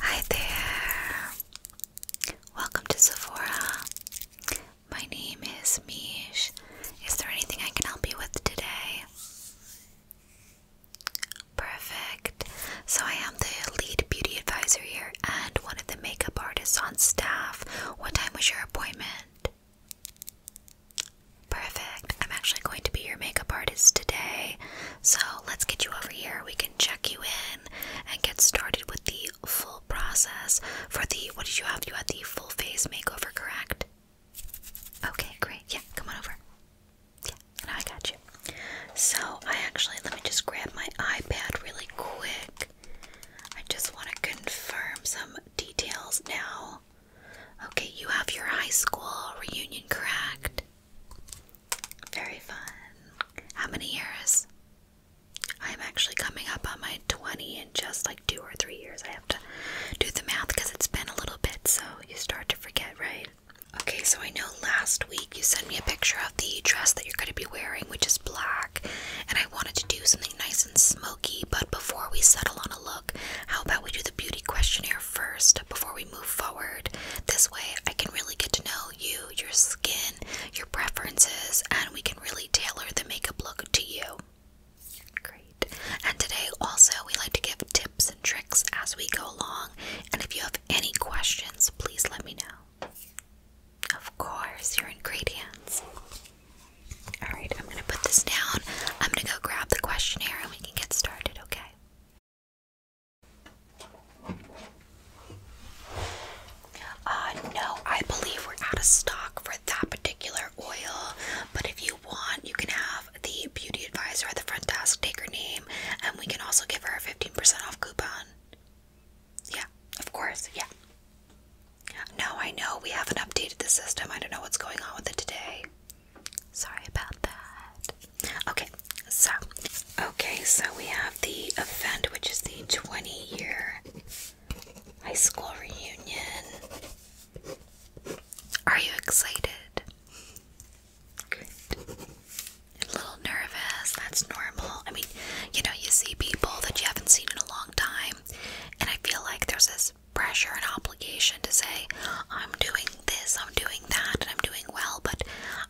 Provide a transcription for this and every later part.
Hi there! Welcome to Sephora. My name is Mish. Is there anything I can help you with today? Perfect. So, I am the lead beauty advisor here and one of the makeup artists on staff. What time was your appointment? Perfect. I'm actually going to be your makeup artist today. So let's get you over here. We can check you in and get started with the full process for the what did you have? You had the full face makeover, correct? Okay, great. Yeah, come on over. Yeah, I got you. So I actually let me just grab my iPad really quick. I just want to confirm some details now. Okay, you have your high school reunion, correct? Very fun. How many years? I'm actually coming up on my 20 in just like two or three years. I have to do the math because it's been a little bit, so you start to forget, right? Okay, so I know last week you sent me a picture of the dress that you're going to be wearing, which is black, and I wanted to do something nice and smoky, but before we settle on a look, how about we do the beauty questionnaire first before we move forward. This way, I can really get to know you, your skin, your preferences, and we can really tailor the makeup look to you. Great. And today, also, we like to give tips and tricks as we go along. And if you have any questions, please let me know. Of course, you're in great hands. Alright, I'm going to put this down. I'm going to go grab the questionnaire and we can get started, okay? Uh, no, I believe we're out of stock for that particular oil, but if you want, you can have the beauty advisor at the front desk take her name, and we can also give her a 15% off coupon. Yeah, of course, yeah. No, I know we haven't updated the system. I don't know what's going on with it today. Sorry about that. Okay, so okay, so we have the event, which is the 20-year high school reunion. Are you excited? Good. A little nervous, that's normal. I mean, you know, you see people that you haven't seen in a long time, and I feel like there's this pressure and obligation to say, I'm doing this, I'm doing that, and I'm doing well. But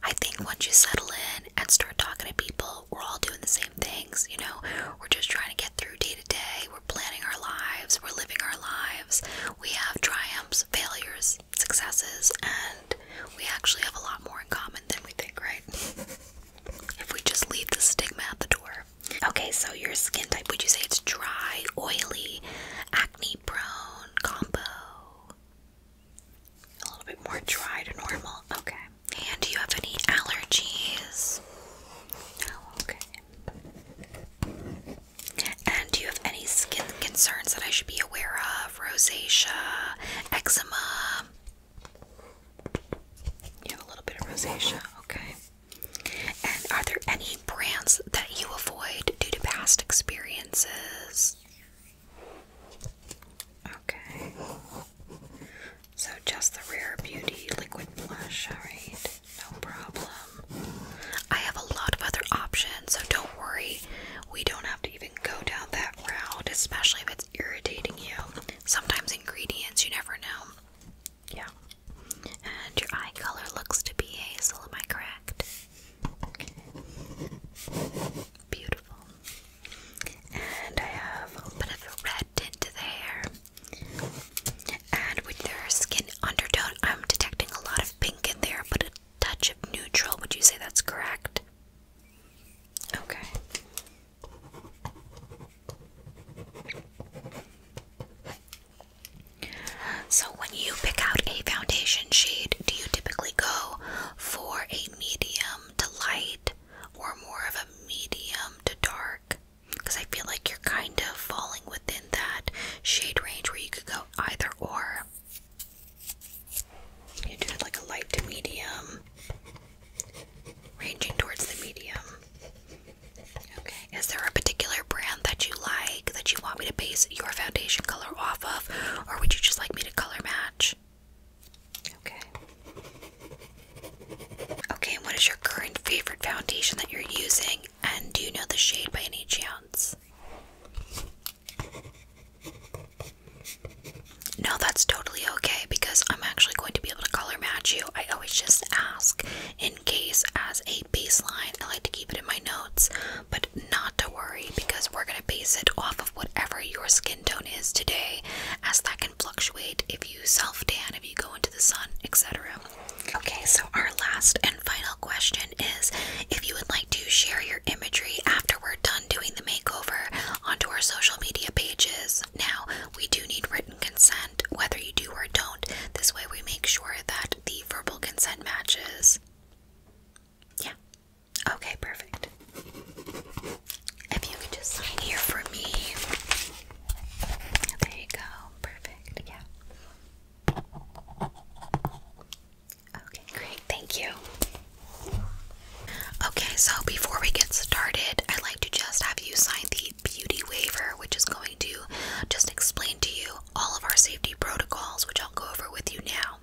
I think once you settle in and start talking to people, we're all doing the same things, you know? We're just trying to get through day to day. We're planning our lives, we're living our lives. We have triumphs, failures, successes, and we actually have a lot more in common than we think, right? if we just leave the stigma at the door. Okay, so your skin type, would you say it's dry, oily, acne prone, combo? A little bit more dry to normal. Okay. And do you have any allergies? No, oh, okay. And do you have any skin concerns that I should be aware of? Rosacea, eczema? You have a little bit of rosacea, okay. And are there any brands that you avoid due to past experiences? Okay. So just the Rare Beauty liquid blush, alright? No problem. I have a lot of other options, so don't worry. We don't have to even go down that route, especially if it's irritating you. Sometimes ingredients, you never know. Yeah. And your eye color looks to be hazel, am I correct? Beautiful. And I have a bit of a red tint to the hair. And with their skin undertone, I'm detecting a lot of pink in there, but a touch of neutral. Would you say that's correct? Okay. So, when you pick out a foundation shade, do you typically go for a medium to light or more of a medium to dark? Because I feel like you're kind of falling within that shade range where you could go either or. You do it like a light to medium, ranging towards the medium. Okay, is there a particular brand that you like that you want me to base your foundation color off of? or would you just like me to color match? Okay. Okay, what is your current favorite foundation that you're using? And do you know the shade by any chance? No, that's totally okay because I'm actually going to be able to color match you. I always just ask in case, as a baseline, I like to keep it in my notes but not to worry because we're going to base it off of whatever your skin tone is today, as that can fluctuate if you self tan, if you go into the sun, etc. Okay, so our last and final question is if you would like to share your imagery after we're done doing the makeover onto our social media pages. Now, we do need written consent, whether you do or don't. This way, we make sure that the verbal consent matches. Yeah, Okay, perfect. If you could just sign here for me. There you go. Perfect. Yeah. Okay, great. Thank you. Okay, so before we get started, I'd like to just have you sign the beauty waiver, which is going to just explain to you all of our safety protocols, which I'll go over with you now.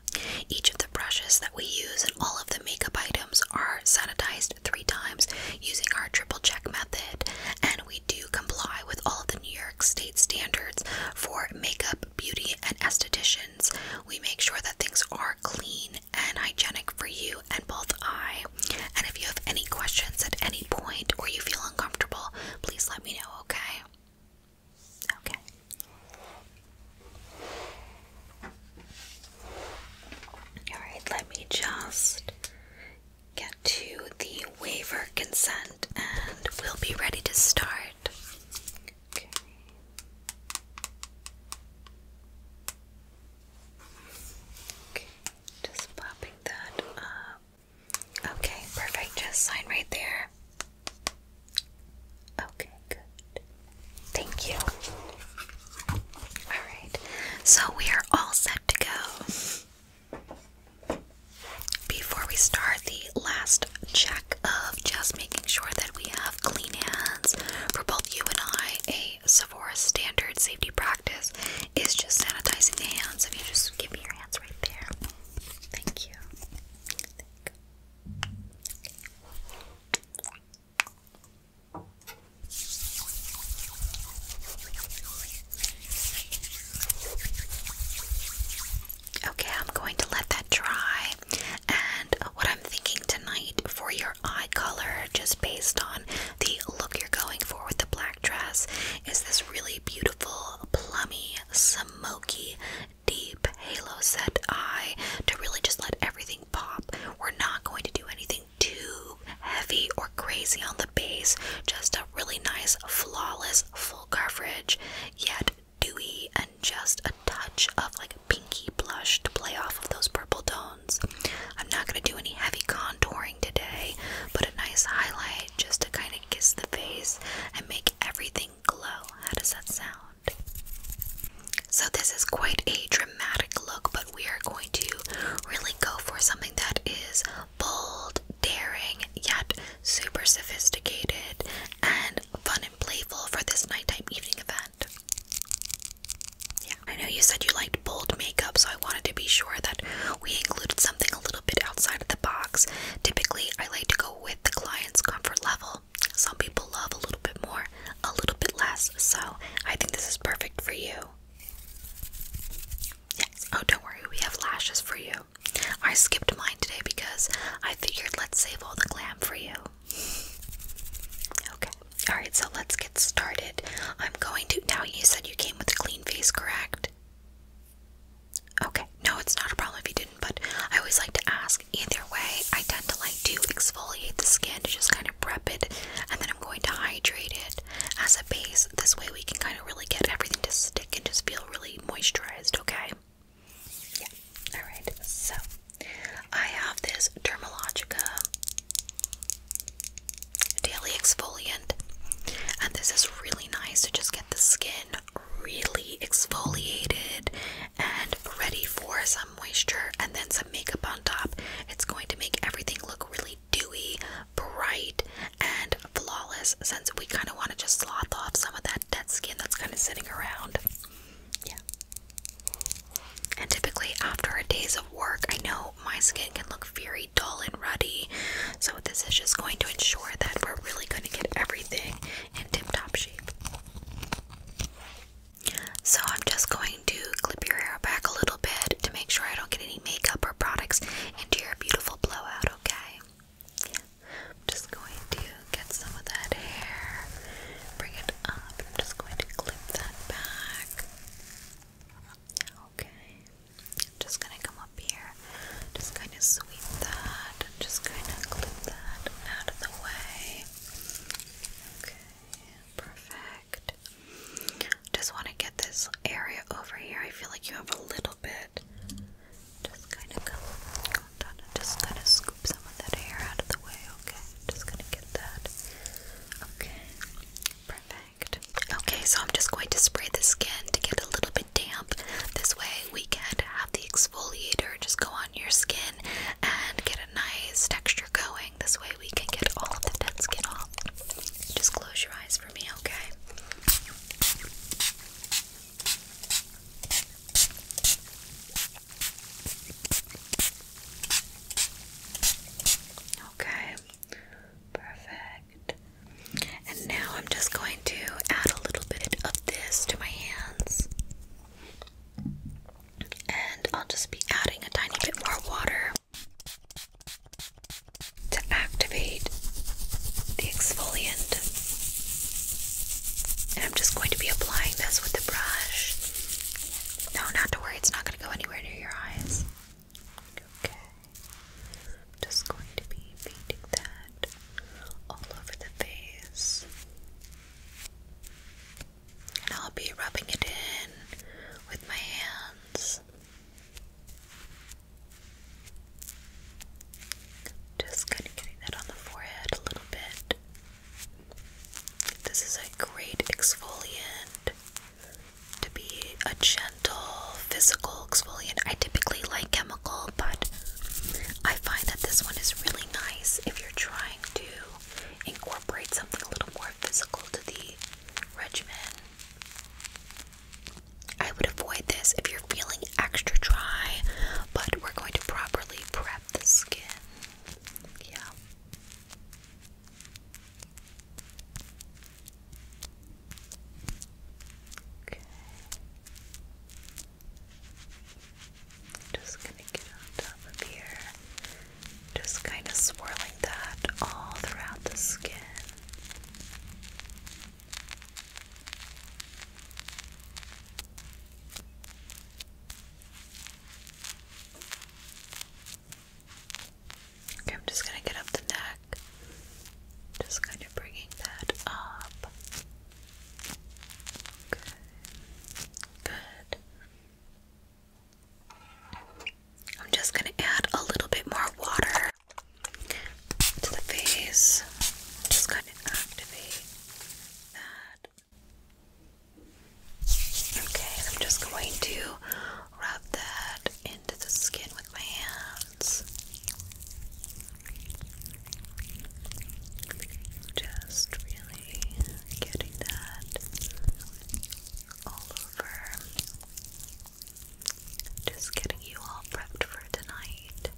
Each of the brushes that we use and all of the makeup items are sanitized three times using our triple check method, and we do comply with all of the New York State standards for makeup, beauty, and estheticians. We make sure that things are clean and hygienic for you and both I. And if you have any questions at any point or you feel uncomfortable, please let me know, okay? Okay. Alright, let me just get to the waiver consent and we'll be ready to start. Okay. Okay, just popping that up. Okay, perfect. Just sign right there. Okay, good. Thank you. Alright, so we are all set to go. Before we start the last check of just making sure that we have clean hands for both you and I, a Sephora standard safety practice is just sanitizing the hands. If you just give me your hands right there. Thank you. Okay, I'm going to let that dry. And what I'm thinking tonight for your eye color, just based on the look you're going for with the black dress, is this really beautiful, plummy, smoky deep halo set eye to really just let everything pop. We're not going to do anything too heavy or crazy on the base, just a really nice, flawless, full coverage, yet dewy and just a touch of like pinky blush to play off of those purple tones. I'm not going to do any heavy contouring today, but a nice highlight just to kind of kiss the face and make everything glow. How does that sound? So this is quite a dramatic look, but we are going to really go for something that is bold, daring, yet super sophisticated and fun and playful for this nighttime evening event. Yeah, I know you said you liked bold makeup, so I wanted to be sure that we included something a little bit outside of the box. Typically, I like to go with the client's comfort level some people love a little bit more, a little bit less. So I think this is perfect for you. Yes. Oh, don't worry. We have lashes for you. I skipped mine today because I figured let's save all the glam for you. Okay. Alright, so let's get started. I'm going to. Now, you said you came with a clean face, correct? Okay, no, it's not a problem if you didn't, but I always like to ask. Either way, I tend to like to exfoliate the skin to just kind of prep it, and then I'm going to hydrate it as a base. This way, we can kind of really get everything to stick and just feel really moisturized, okay? Yeah, alright, so I have this Dermalogica Daily Exfoliant, and this is really nice to just get the skin really exfoliated and ready for some moisture and then some makeup on top. It's going to make everything look really dewy, bright, and flawless since we kind of want to just sloth off some of that dead skin that's kind of sitting around. Yeah. And typically, after a days of work, I know my skin can look very dull and ruddy. So, this is just going to ensure that we're really going to get everything in tip-top shape. So I'm just going to clip your hair back a little bit to make sure I don't get any makeup or products into your beautiful blowout, okay? I'm just going to get some of that hair, bring it up, I'm just going to clip that back. Okay. I'm just gonna come up here, just kind of sweep that and just kind of clip that out of the way. Okay, perfect. Just want to get this area over here. I feel like you have a little bit. Just kind of go, just kind of scoop some of that hair out of the way, okay? Just gonna get that. Okay, perfect. Okay, so I'm just going to spray the skin to get a little bit damp. This way we can the exfoliator, just go on your skin and get a nice texture going. This way we can get all of the dead skin off. Just close your eyes for me, okay? Okay, perfect. And now I'm just going to add a little bit of this to my hands. And I'll just be adding a tiny bit more water to activate the exfoliant. And I'm just going to be applying this with the brush. No, not to worry, it's not going to go anywhere near your eyes. Okay. just going to be painting that all over the face. And I'll be rubbing it in with my hands. Just kind of getting that on the forehead a little bit. This is a great exfoliant to be a gentle physical exfoliant. I typically like chemical, but I find that this one is really nice if you're trying to incorporate something a little more physical to the regimen. I would avoid this if you're feeling extra dry, but we're going to properly prep the skin. Yeah. Okay. Just gonna get on top of here. Just kind of swirling that all throughout the skin. Okay, I'm just going to get up the neck. Just kind of bringing that up. Good. Good. I'm just going to add a little bit more water to the face. just going to activate that. Okay, I'm just going to rub that into the skin with my hands. Just really getting that all over. Just getting you all prepped for tonight.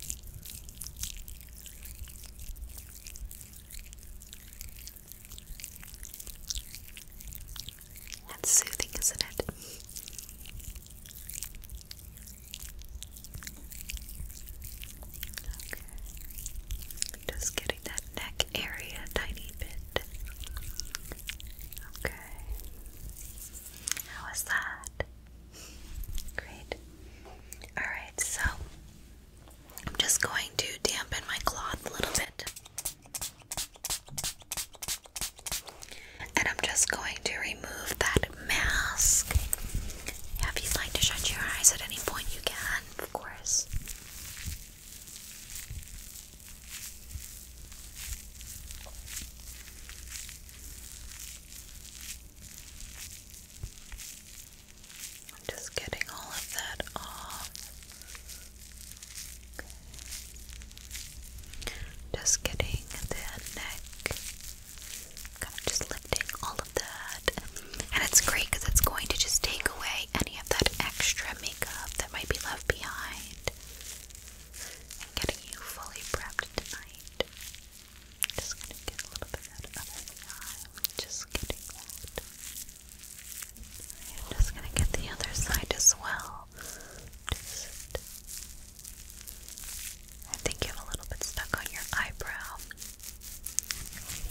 That's soothing, isn't it? Just getting that neck area tiny bit. Okay. How that? Great. Alright, so I'm just going to dampen my cloth a little bit. And I'm just going to remove that mask if you'd like to shut your eyes at any point, you can, of course. just getting all of that off. Just getting the neck Kind of just lifting all of that. And it's great because it's going to just take away any of that extra makeup that might be left behind. And getting you fully prepped tonight. Just gonna get a little bit of that other eye. Just getting that. I'm just gonna get the other side as well. I think you have a little bit stuck on your eyebrow.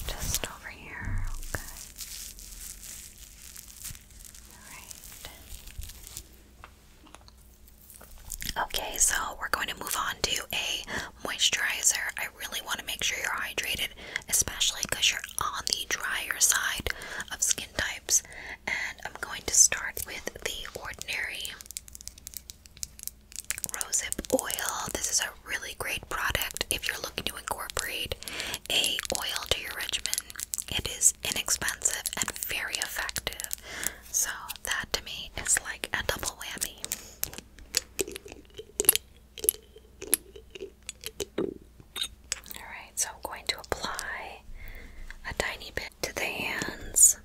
Just over here, okay. Alright. Okay, so we're going to move on to a moisturizer. I really want to make sure you're hydrated, especially because you're on the drier side of skin types. And I'm going to start with the Ordinary rosehip oil. This is a really great product if you're looking to incorporate a oil to your regimen. It is inexpensive and very effective. So that to me is like a double whammy. Alright, so I'm going to apply a tiny bit to the hands.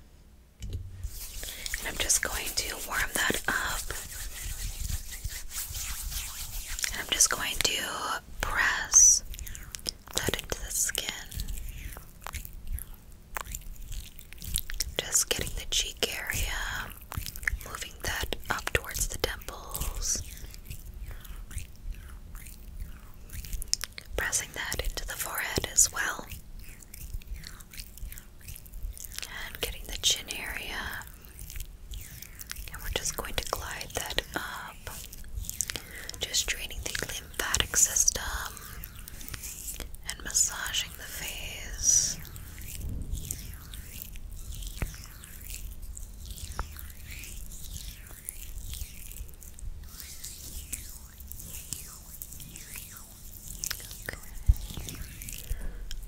And I'm just going to warm that up. And I'm just going to press that into the skin. Just getting the cheek area, moving that up towards the temples. Pressing that into the forehead as well. And getting the chin area. And we're just going to glide that up. Just draining the lymphatic system and massaging the face.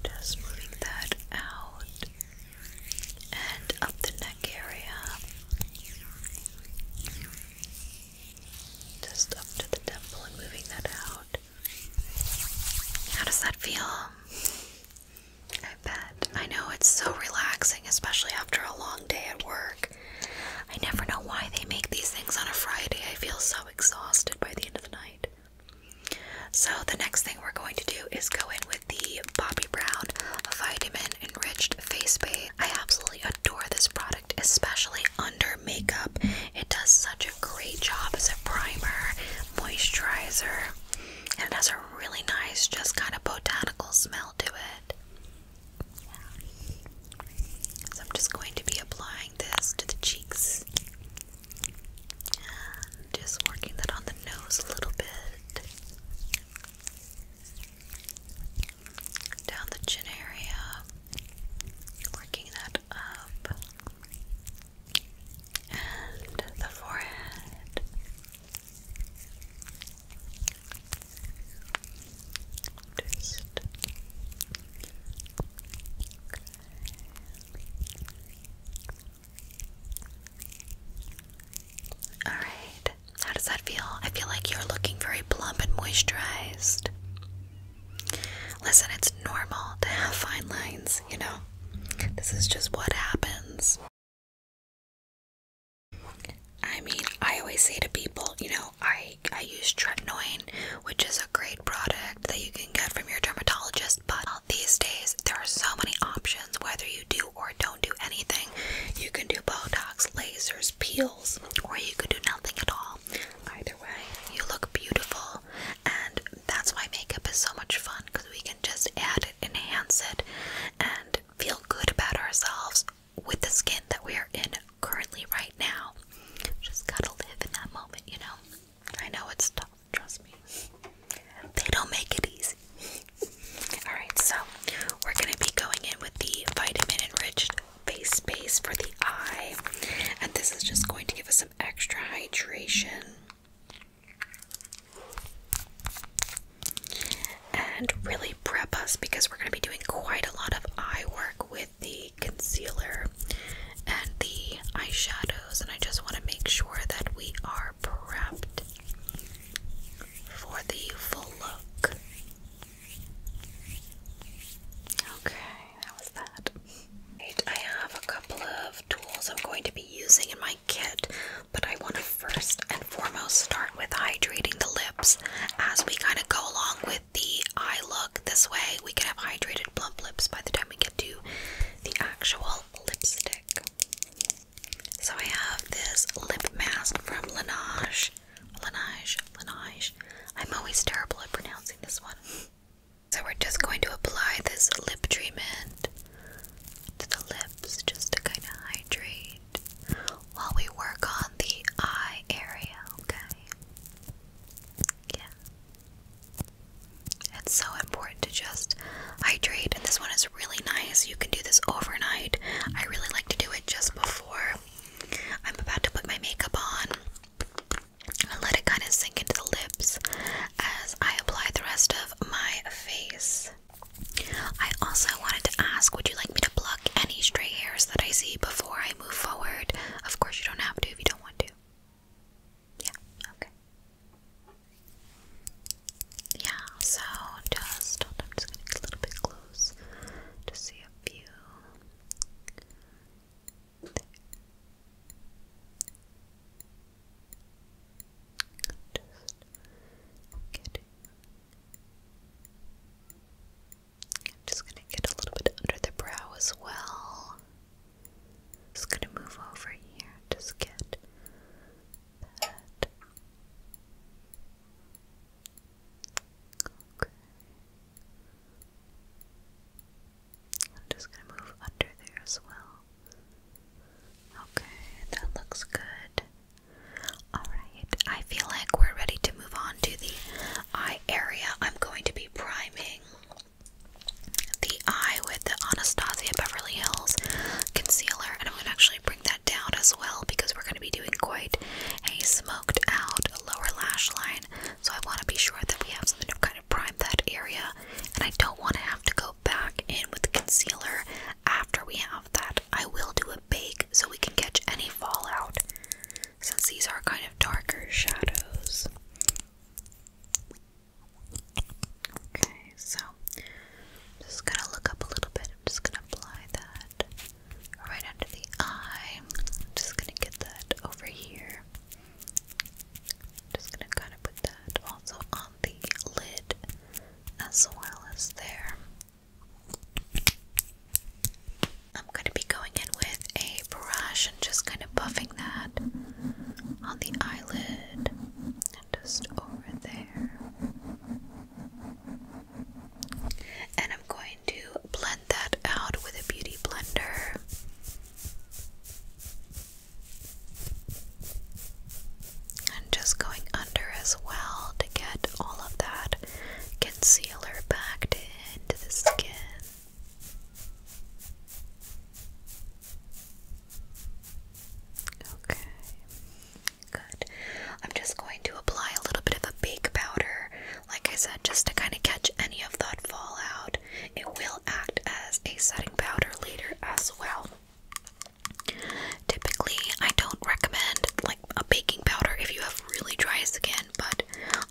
Just moving that out and up the neck area. Just up to the temple and moving that out. How does that feel? I bet. I know it's so relaxing, especially after a long day at work. I never know why they make these things on a Friday. I feel so exhausted by the end of the night. So the next thing we're going to do is go in with the Bobbi Brown Vitamin Enriched Face Base. I absolutely adore this product, especially under makeup. It does such a great job as a primer, moisturizer, and it has a really nice, just kind of botanical smell to it. So I'm just going to be applying this to the cheeks just working that on the nose a little bit. Down the chin area. Working that up. And the forehead. Just Alright, how does that feel? I feel like you're looking very plump and moisturized. Listen, it's normal to have fine lines, you know? This is just what happens. I mean, I always say to people, you know, I I use tretinoin which is a great product that you can get from your dermatologist. But these days, there are so many options whether you do or don't do anything. You can do Botox, lasers, peels, or you can do nothing at all. Either way, you look beautiful, and that's why makeup is so much fun because we can just add enhance it, and feel good about ourselves with the skin that we are in currently right now. Just gotta live in that moment, you know? I know it's tough, trust me. They don't make it easy. Alright, so we're going to be going in with the vitamin enriched face base for the eye, and this is just going to give us some extra hydration and really prep us because we're going to be doing quite a lot of eye work with the concealer and the eyeshadows, and I just want to make sure that we are prepped for the full look. Okay, that was that. I have a couple of tools I'm going to be using in my kit, but I want to first and foremost start with hydrating the lips as we kind of go along with the eye look. This way, we can have hydrated muted lips by the time we get to the actual lipstick. So I have this lip mask from Laneige. Laneige, Laneige. I'm always terrible at pronouncing this one. So we're just going to apply this lip treatment to the lips just to kind of hydrate while we work on the eye area, okay? Yeah. It's so important to just hydrate, and this one is really nice. You can do this overnight. I really like to do it just before I'm about to put my makeup on. and let it kind of sink into the lips as I apply the rest of my face. I also wanted to ask would you like me to pluck any stray hairs that I see before I move forward? Of course, you don't have to if you don't want to. Yeah, okay. Yeah, so just I'm just gonna get a little bit close to see a few. I'm just gonna get a little bit under the brow as well. Just gonna move over here, just get that. Okay. I'm just gonna move under there as well. Okay, that looks good. Alright, I feel like we're ready to move on to the eye area. I'm going to be priming the eye with the Anastasia Beverly Hills concealer, and I'm going to actually bring that down as well because we're going to be doing quite a smoked out lower lash line. So I want to be sure that we have something to kind of prime that area, and I don't want to have to go back in with the concealer after we have that. I will do a bake so we can catch any fallout since these are kind of darker shadows. Okay, so I'm just gonna look up a little bit. I'm just gonna apply that right under the eye. I'm just gonna get that over here. Just gonna kind of put that also on the lid as well as there. I'm gonna be going in with a brush and just kind of buffing that on the eyelid and just over there. And I'm going to blend that out with a beauty blender. And just going under as well to get all of that concealer backed into the skin. Okay, good. I'm just going to apply a little bit of a bake powder, like I said, just to kind of catch any of that fallout. It will act as a setting powder later as well. Typically, I don't recommend like a baking powder if you have really dry skin, but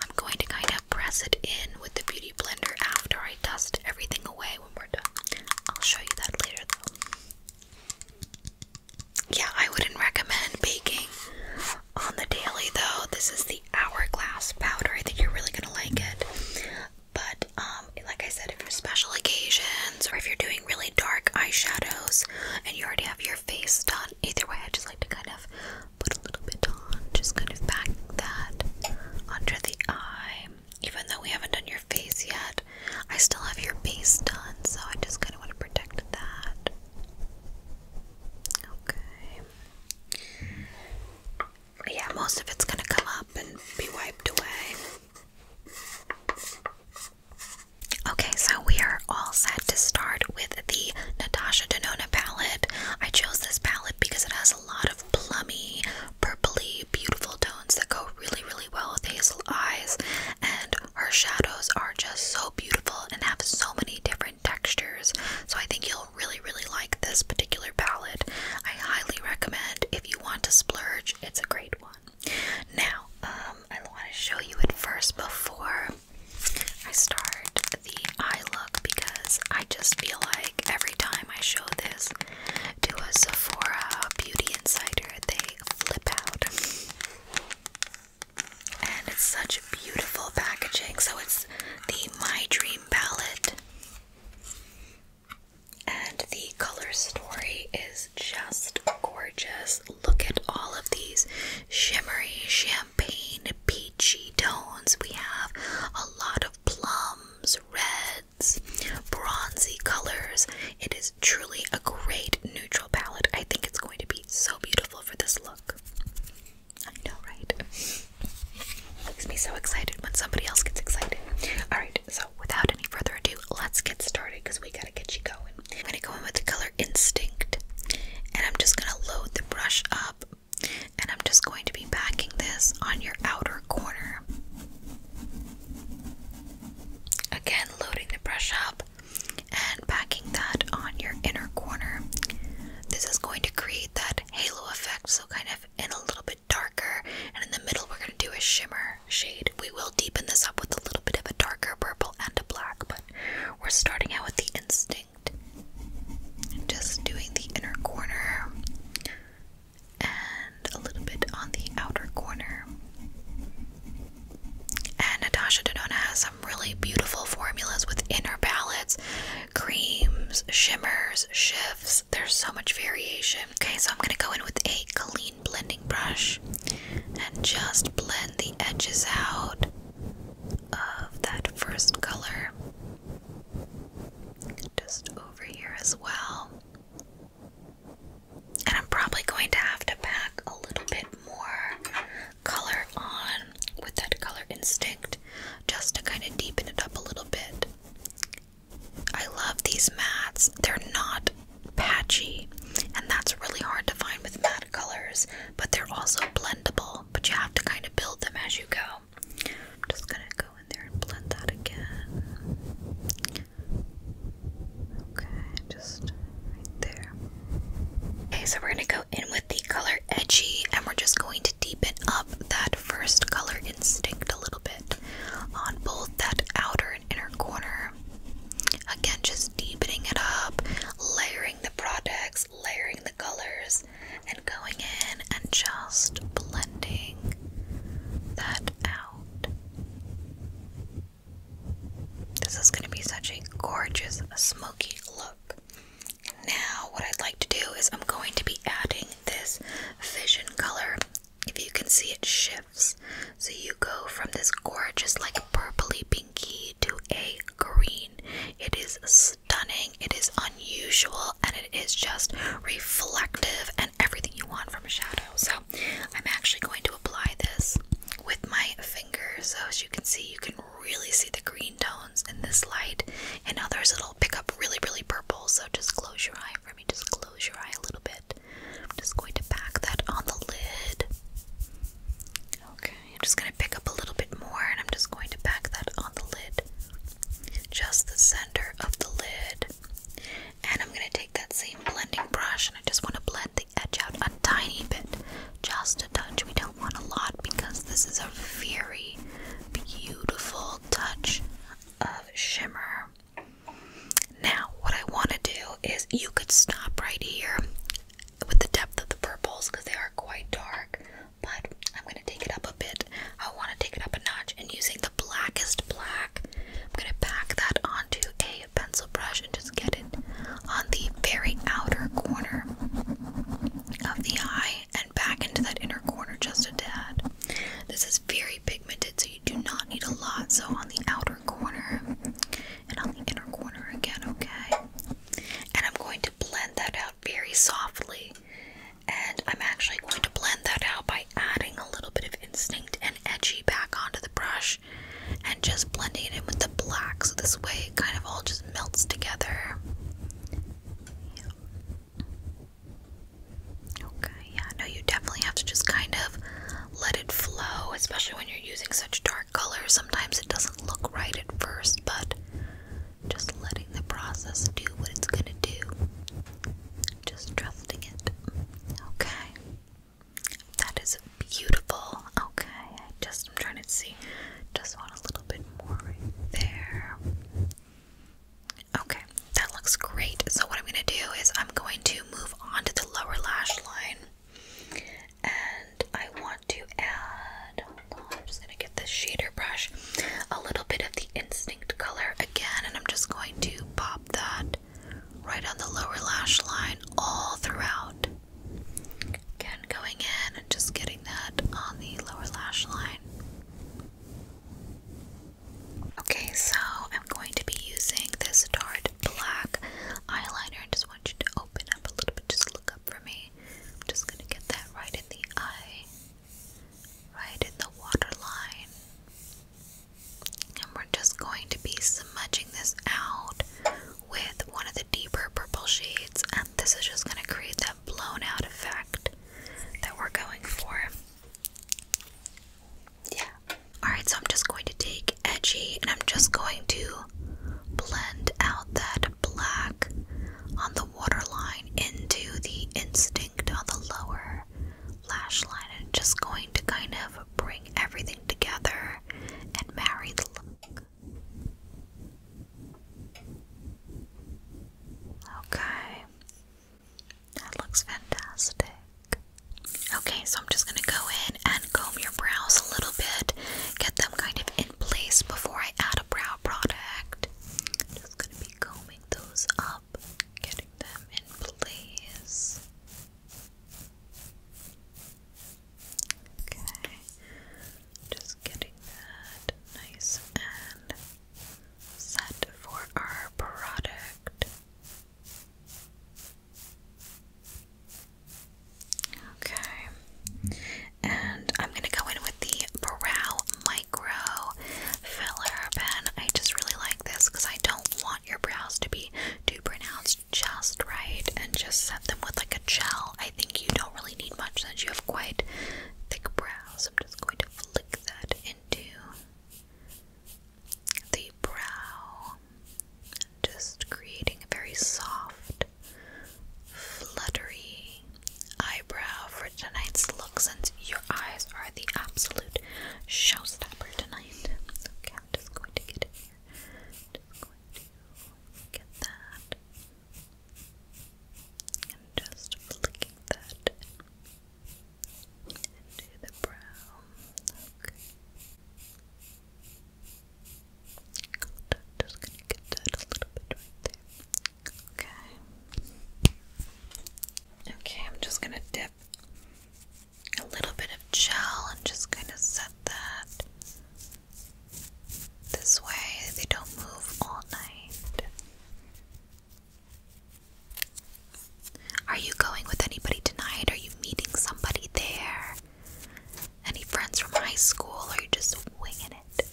I'm going to kind of press it in with the beauty blender after I dust everything away when we're done. I'll show you that later though. Yeah, I wouldn't recommend baking on the daily though. This is the hourglass powder. I think you're really gonna like it. But um like I said, if you're special occasions or if you're doing really dark eyeshadows and you already have your face done, either way I just like to kind of put a little bit just kind of back that under the eye. Even though we haven't done your face yet, I still have your base done, so I just kind of want to protect that. Okay. Yeah, most of it's gonna come up and be wiped away. Okay, so we are all set to start with the Natasha Denona palette. I chose this palette because it has a lot of plummy, purpley, beautiful tones that go really, really well with hazel eyes. And her shadows are just so beautiful and have so many different textures. So I think you'll really, really like this particular palette. I highly recommend if you want to splurge, it's a great one. Now, um, I want to show you it first before I start the eye look because I just feel like every time I show this to a Sephora beauty insider, they flip out. And it's such beautiful packaging. So it's the My Dream palette. And the color story is just gorgeous. Look at all of these shimmery, champagne, peachy tones. We have a lot of plums, reds, bronzy colors. It is truly a great neutral palette. I think it's going to be so beautiful for this look. I know, right? Makes me so excited when somebody else gets excited. Alright, so without any further ado, let's get started because we gotta get you going. I'm gonna go in with the color Instinct and I'm just gonna load the brush up and I'm just going to be backing this on your outer corner. Again, loading the brush up and backing that on your inner corner. This is going to create that halo effect, so kind of in a little bit darker, and in the middle, we're going to do a shimmer shade. We will deepen this up with a little bit of a darker purple and a black, but we're starting out with the instinct. Just doing the inner corner, and a little bit on the outer corner. And Natasha Denona has some really beautiful formulas within her palettes creams, shimmers, shifts. There's so much variation. Okay, so I'm going to go in with a clean blending brush and just blend the edges out of that first color. Just over here as well. And I'm probably going to have to pack a little bit more color on with that color instinct just to kind of deepen it up a little bit. I love these mats. They're not patchy, and that's really hard to find with matte colors, but they're also blendable, but you have to kind of build them as you go. I'm just gonna go in there and blend that again. Okay, just there. Okay, so we're gonna go in with the color Edgy and we're just going to deepen up that first color instinct a little bit on both that outer and inner corner. Again, just deepening it up, layering the products, layering the colors, and going in and just blending that out. This is going to be such a gorgeous, smoky look. Now, what I'd like to do is I'm going to be adding this vision color. If you can see, it shifts. So you go from this gorgeous, like purpley pinky to a green. It is stunning it is unusual, and it is just reflective and everything you want from a shadow. So, I'm actually going to apply this with my finger. So, as you can see, you can really see the green tones in this light, and others it'll pick up really, really purple. So, just close your eye for me, just close your eye a little bit. I'm just going to pack that on the lid. Okay, I'm just going to pick up a little bit more and I'm just going to pack that on the lid just the center of the lid. And I'm going to take that same blending brush and I just want to blend the edge out a tiny bit, just a touch. We don't want a lot because this is a very beautiful touch of shimmer. Now, what I want to do is you could stop right here with the depth of the purples because they are quite dark but I'm gonna take it up a bit. I want to take it up a notch, and using the blackest black, I'm gonna pack that onto a pencil brush and just get it on the very outer corner of the eye and back into that inner corner just a tad. This is very pigmented, so you do not need a lot. So on the outer corner and on the inner corner again, okay? And I'm going to blend that out very softly. And I'm actually going to blend that out by adding a little bit of instinct and edgy back onto the brush and just blending it in with the black so this way it kind of all just melts together. Okay, yeah, no, you definitely have to just kind of let it flow, especially when you're using such dark colors. Sometimes it doesn't look right at first, but just letting the process do what it's gonna do. Just trusting it. Okay. That is beautiful. Okay, I just I'm trying to see. Just want a little bit more there. Okay, that looks great. So what I'm gonna do is I'm going to move on to the lower lash line. And I want to add, just going to get this shader brush, a little bit of the Instinct color again, and I'm just going to pop that right on the lower lash line all throughout. Again, going in and just getting that on the lower lash line. Okay, so I'm going to be using this Tarte Black eyeliner I just want you to open up a little bit, just look up for me. I'm just going to get that right in the eye right in the waterline. And we're just going to be smudging this out with one of the deeper purple shades, and this is just going to create that blown out effect that we're going for. Yeah. Alright, so I'm just going to take Edgy and I'm just going to blend out that black on the waterline into the instinct. On the lower lash line and just going to kind of bring everything together and marry the look. Okay. That looks fantastic. Okay, so I'm just going to go in and comb your brows a little bit, get them kind of in place before I add a brow product. Just going to be combing those up getting them in place. Okay, just getting that nice and set for our product. Okay, and I'm gonna go in with the Brow Micro filler pen. I just really like this because I don't want your brows to be too pronounced just right and just set them with like a gel. I think you don't really need much since you have quite thick brows. I'm just going to flick that into the brow, just creating a very soft, fluttery eyebrow for tonight's look since your eyes are the absolute showstopper tonight. Okay, I'm just going to get in here. Just going to get that. And just flicking that into the brow. Okay. just gonna get that a little bit right there. Okay. Okay, I'm just gonna dip a little bit of gel and just kind of set that this way they don't move all night. Are you going with anybody tonight? Are you meeting somebody there? Any friends from high school? Or are you just winging it?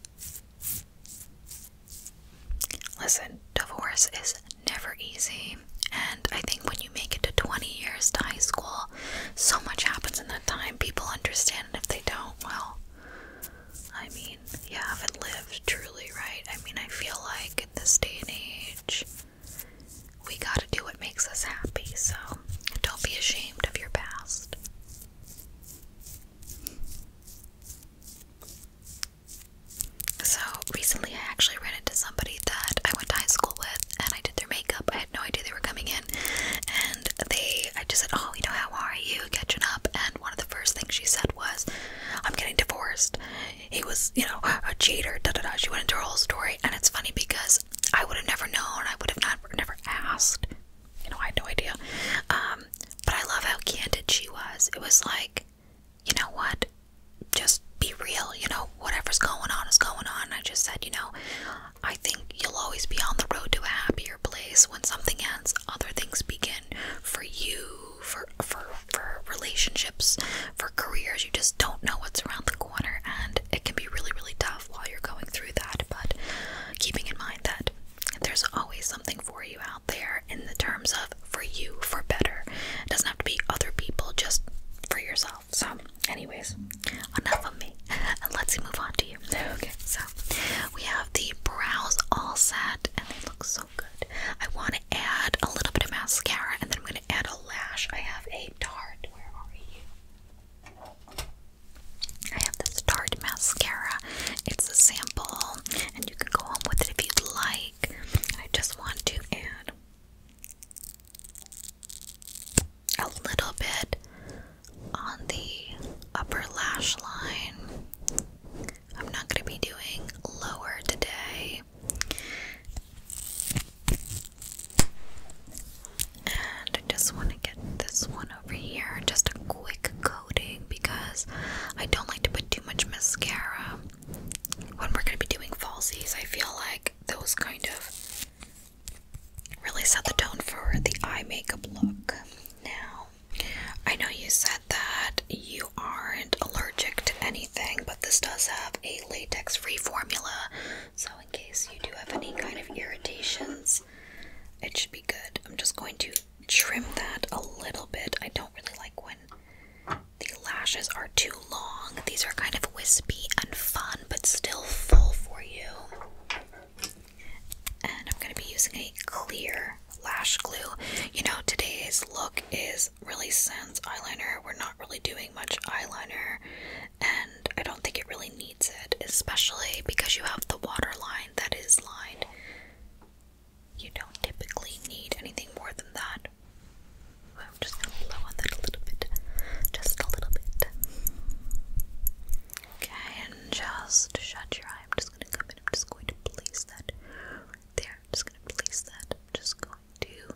Listen, divorce is never easy, and I think when you make it to 20 years to high school, so much happens in that time. People understand, and if they don't, well, I mean, you haven't lived truly, right? I mean, I feel like in this day and age, we gotta do what makes us happy, so don't be ashamed of your past. So recently I actually ran into somebody that I went to high school with and I did their makeup. I had no idea they were coming in and they I just said, Oh, you know, how are you? Catching up and one of the first things she said was, I'm getting divorced. He was, you know, a cheater, da da da. She went into her whole story and it's funny because I would have never known, I would have not never asked. You know, I had no idea. Um, but I love how candid she was. It was like you know what? Just be real, you know, whatever's going on is going on. I just said, you know, I think you'll always be on the road to a happier place. When something ends, other things begin for you, for for for relationships, for careers. You just don't know what's around the corner and it can be really, really tough while you're going through that. But keeping in mind that there's always something for you out there in the terms of for you for better. It doesn't have to be other people, just for yourself. So, anyways, enough of me. And Let's move on to you. Okay, so we have the brows all set and they look so good. I want to add a little bit of mascara and then I'm going to add a lash. I have a Tarte. Where are you? I have this Tarte mascara. It's a sample and you can go home with it if you'd like. I just want to add a little bit on the upper lash line. I'm not going to be doing lower today. And I just want to get this one over here, just a quick coating because I don't like to put too much mascara when we're going to be doing falsies. I feel like those kind of really set the tone for the eye makeup look. Now, I know you said that you aren't allergic to anything, but this does have a latex free formula, so in case you do have any kind of irritations, it should be good. I'm just going to trim that a little bit. I don't really like when the lashes are too long. These are kind of wispy and fun, but still full for you. And I'm going to be using a clear lash glue. You know, today's look is really sans eyeliner. We're not really doing much eyeliner, and I don't think it really needs it, especially because you have the waterline that is lined you don't typically need anything more than that. I'm just gonna blow on that a little bit. Just a little bit. Okay, and just shut your eye. I'm just gonna come in. I'm just going to place that there. I'm just gonna place that. I'm just going to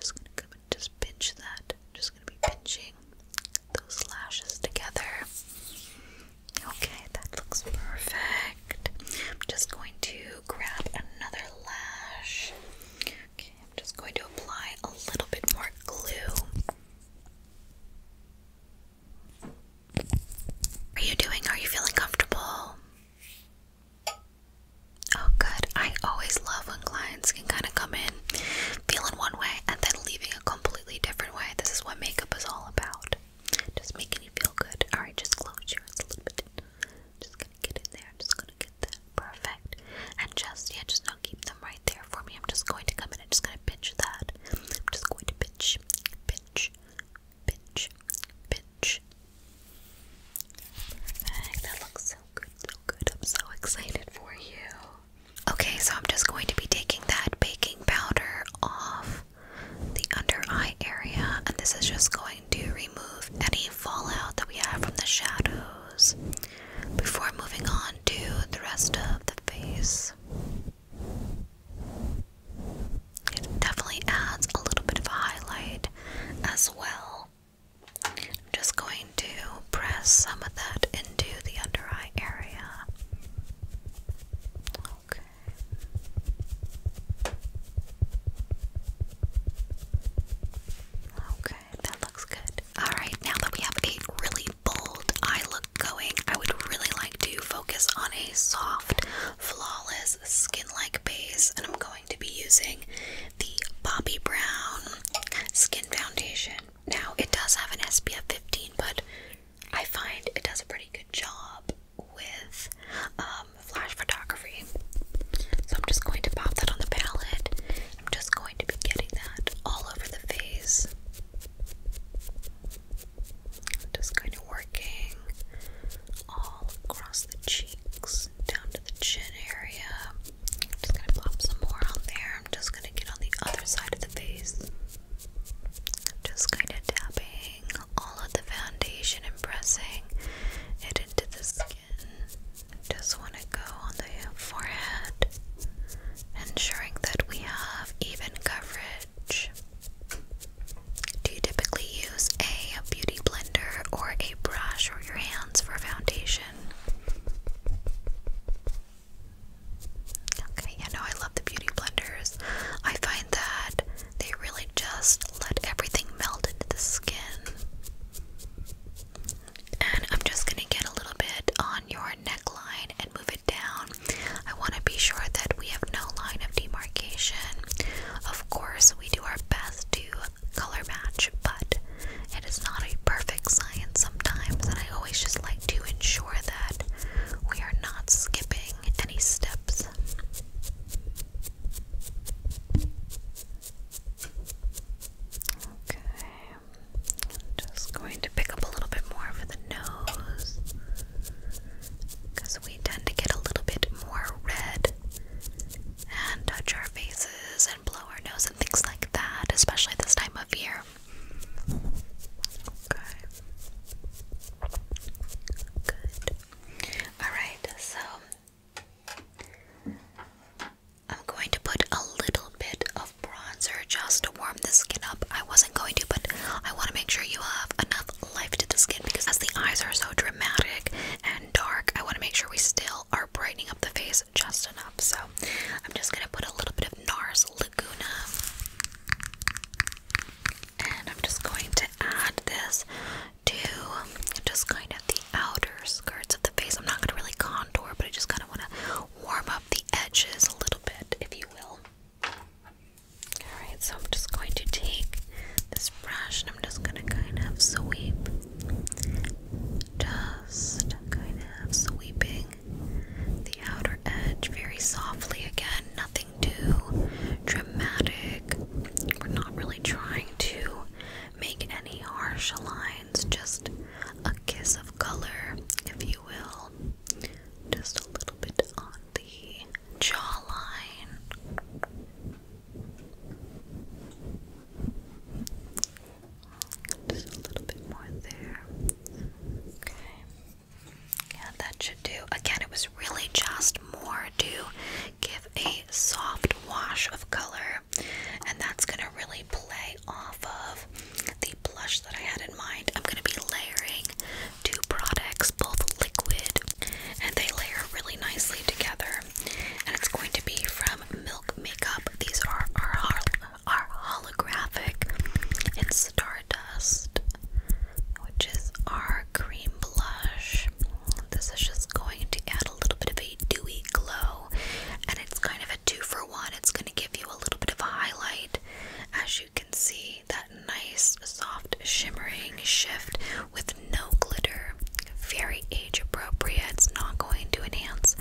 just gonna come and just pinch that. I'm just gonna be pinching those lashes together. Okay, that looks perfect. I'm just going to grab another lash. Okay, I'm just going to apply a little bit more glue. are you doing? Are you feeling comfortable? Oh, good. I always love when clients can kind of come in feeling one way and then leaving a completely different way. This is what makeup is all about. Just making you feel good. Alright, just close your eyes a little bit. Just gonna get in there. Just gonna get there. Perfect. And just, yeah, just not keep them right there for me. I'm just going to come in and just gonna pinch that. I'm just going to pinch, pinch, pinch, pinch. That looks so good, so good. I'm so excited for you. Okay, so I'm just going to be taking that baking powder off the under eye area, and this is just going to remove any fallout that we have from the shadows before moving on to the rest of the face. It definitely adds a little bit of a highlight as well. I'm just going to press some of that into the under eye area. Okay. Okay, that looks good. Alright, now that we have a really bold eye look going, I would really like to focus on a soft, flawless, skin like base, and I'm going to be using the Bobbi Brown Skin Foundation. Now, it does have an SPF 15, but I find it does a pretty good job with um, flash photography. So I'm just going to pop that on the palette. I'm just going to be getting that all over the face. just kind of working all across the cheeks, down to the chin area. just gonna pop some more on there. I'm just gonna get on the other side of the face. just kind of dabbing all of the foundation impressing it into the skin. Just want to go on the forehead, ensuring that we have even coverage. Do you typically use a beauty blender or a brush or your hands for foundation? Okay, yeah, no, I love the beauty blenders. I find that they really just let everything melt into the skin. And I'm just going to get a little bit on your neckline and move it down. I want to be sure that we have no line of demarcation. Of course, we do our best to color match, but it is not a perfect science sometimes, and I always just like to ensure that we are not skipping any steps. Okay, I'm just going to pick up a little bit more for the nose because we tend to get a little bit more red and touch our faces and blow our nose and things like that, especially this time of year. Okay. Good. Alright, so I'm going to put a little bit of bronzer just to warm the skin up. I wasn't going to, but I want to make sure you have enough life to the skin because as the eyes are so dramatic and dark, I want to make sure we still are brightening up the face just enough. So I'm just going to put a little bit of NARS Laguna and I'm just going to add this to just kind of the outer skirts of the face. I'm not going to really contour, but I just kind of want to warm up the edges a little bit, if you will. Alright, so I'm just going to take this brush and I'm just going to kind of sweep. Just kind of sweeping the outer edge very softly again, nothing too dramatic. We're not really trying to make any harsh lines, just a kiss of color, if you will. Just a little bit on the jawline. Just a little bit more there. Okay. And that should do. Again, it was really just more to give a soft wash of color, and that's gonna really play off of the blush that I had in mind. I'm gonna be layering two products, both liquid, and they layer really nicely together. And it's going to be from Milk Makeup. These are our, hol our holographic in Stardust which is our cream blush. This is just going to add a little bit of a dewy glow, and it's kind of a two for one. It's going to give you a little bit of a highlight, as you can see, that nice, soft, shimmering shift with no glitter. Very age appropriate. It's not going to enhance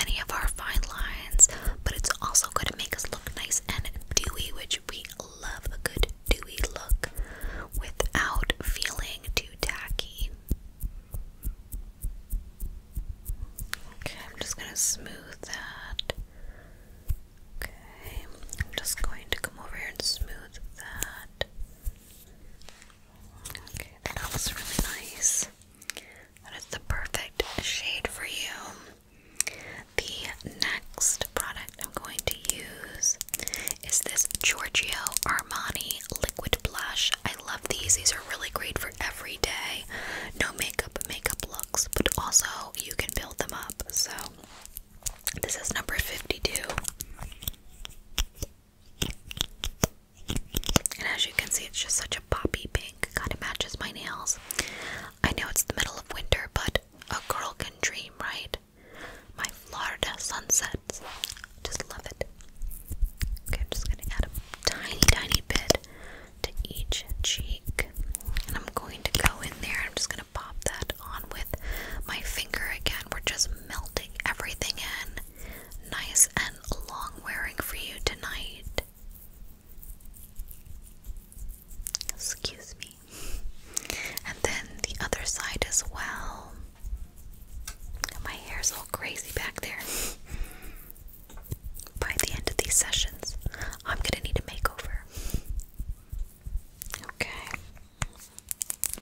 any of our fine lines, but it's also going to make us look nice and dewy, which we love a good dewy look without feeling too tacky. Okay, I'm just going to smooth that. Okay, I'm just going to come over here and smooth that. Okay, that looks really nice. That is the perfect shade for you. The next product I'm going to use is this Giorgio Armani liquid blush. I love these. These are really great for every day. No makeup makeup looks, but also you can build them up. So this is number 52. And as you can see, it's just such a poppy pink. Kind of matches my nails. I know it's the middle of winter, but a girl can dream, right? My Florida sunsets. Just love it. Okay, I'm just going to add a tiny, tiny bit to each cheek. And I'm going to go in there. I'm just going to pop that on with my finger again. We're just melting everything in. Nice and long wearing for you tonight. Excuse me. And then the other side as well. My hair's all crazy back there. By the end of these sessions, I'm gonna need a makeover. Okay.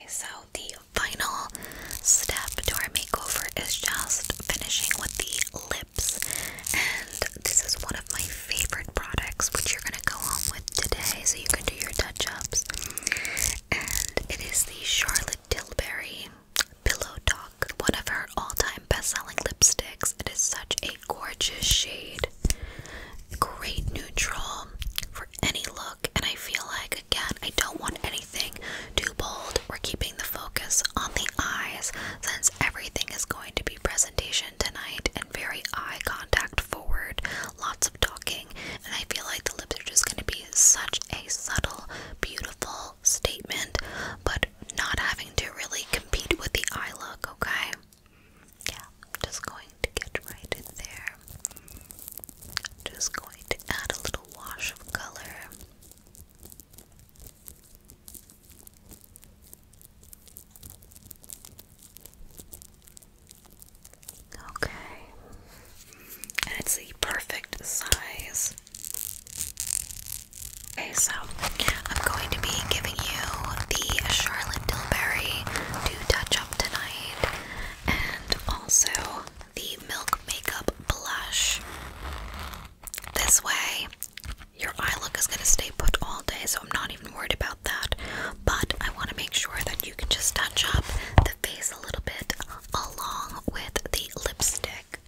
So, the final step to our makeover is just finishing with the lips. And this is one of my favorite products, which you're gonna go home with today, so you can do your touch-ups. And it is the Charlotte Tilbury Pillow Talk, one of her all-time best-selling lipsticks. It is such a gorgeous shade, great neutral for any look. And I feel like again, I don't want anything too bold. We're keeping the focus on the eyes since everything is going to be presentation tonight and very eye contact forward. Lots of talk talking, and I feel like the lips are just going to be such a subtle, beautiful statement, but not having to really compete with the eye look, okay? Yeah, I'm just going to get right in there. just going to add a little wash of color. Okay. And it's the perfect size. Okay, so I'm going to be giving you the Charlotte Tilbury to touch up tonight and also the Milk Makeup Blush. This way, your eye look is going to stay put all day, so I'm not even worried about that, but I want to make sure that you can just touch up the face a little bit along with the lipstick.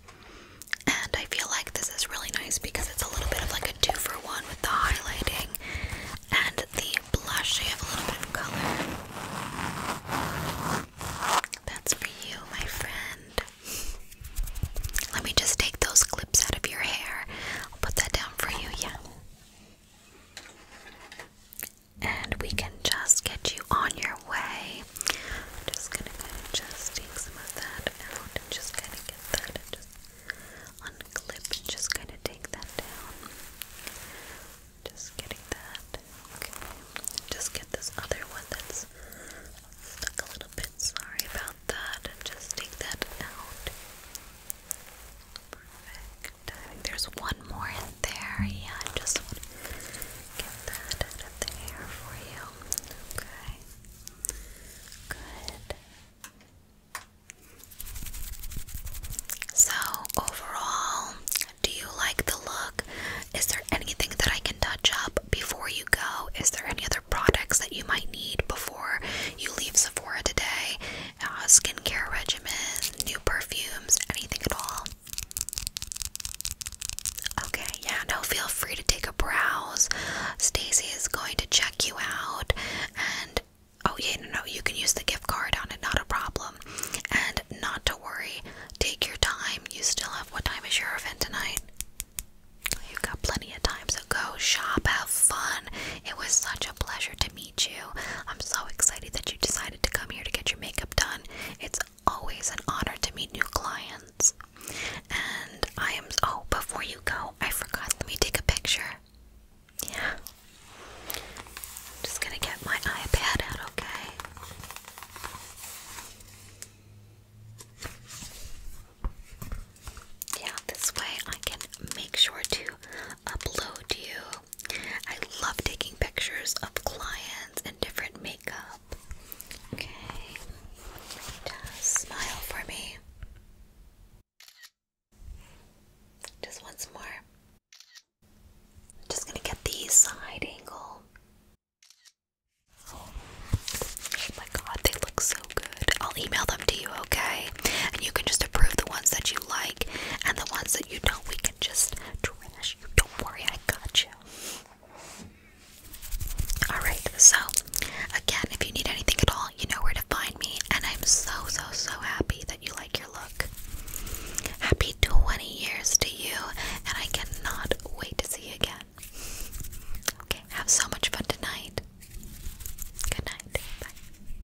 And I feel like this is really nice because it's a little bit of like a two for one with the highlighting and the blush. You have a little bit of color. That's for you, my friend. Let me just take those clips out of your hair. I'll put that down for you, yeah. And we can just get you on your way. just gonna just take some of that out just kind of get that just unclip just kind of take that down. Just getting that. Just get this other one that's stuck a little bit. Sorry about that. just take that out. Perfect. There's one more in there. Yeah, I just want to get that out of the air for you. Okay. Good. So, overall, do you like the look? Is there anything that I can touch up before you go? Is there any other products that you might need before you leave Sephora today? uh, skincare regimen, new perfumes, anything at all? Okay, yeah, no, feel free to take a browse. Stacy is going to check you out and oh yeah, no no, you can use the gift card on it, not a problem. And not to worry, take your time. You still have what time is your event tonight? You've got plenty of time, so go shop, have fun. It was such a pleasure to meet. I'm so excited that you decided to come here to get your makeup done. It's always an honor to meet new clients. And I am. Oh, before you go, I forgot. Let me take a picture. Yeah. I'm just gonna get my iPad out, okay? Yeah, this way I can make sure to upload you. I love taking pictures of clients and different makeup. Okay, smile for me. Just once more. just gonna get the side angle. Oh my god, they look so good. I'll email them to you, okay? and you can just approve the ones that you like and the ones that you don't we can just trash you don't worry i got you all right so again if you need anything at all you know where to find me and i'm so so so happy that you like your look happy 20 years to you and i cannot wait to see you again okay have so much fun tonight good night bye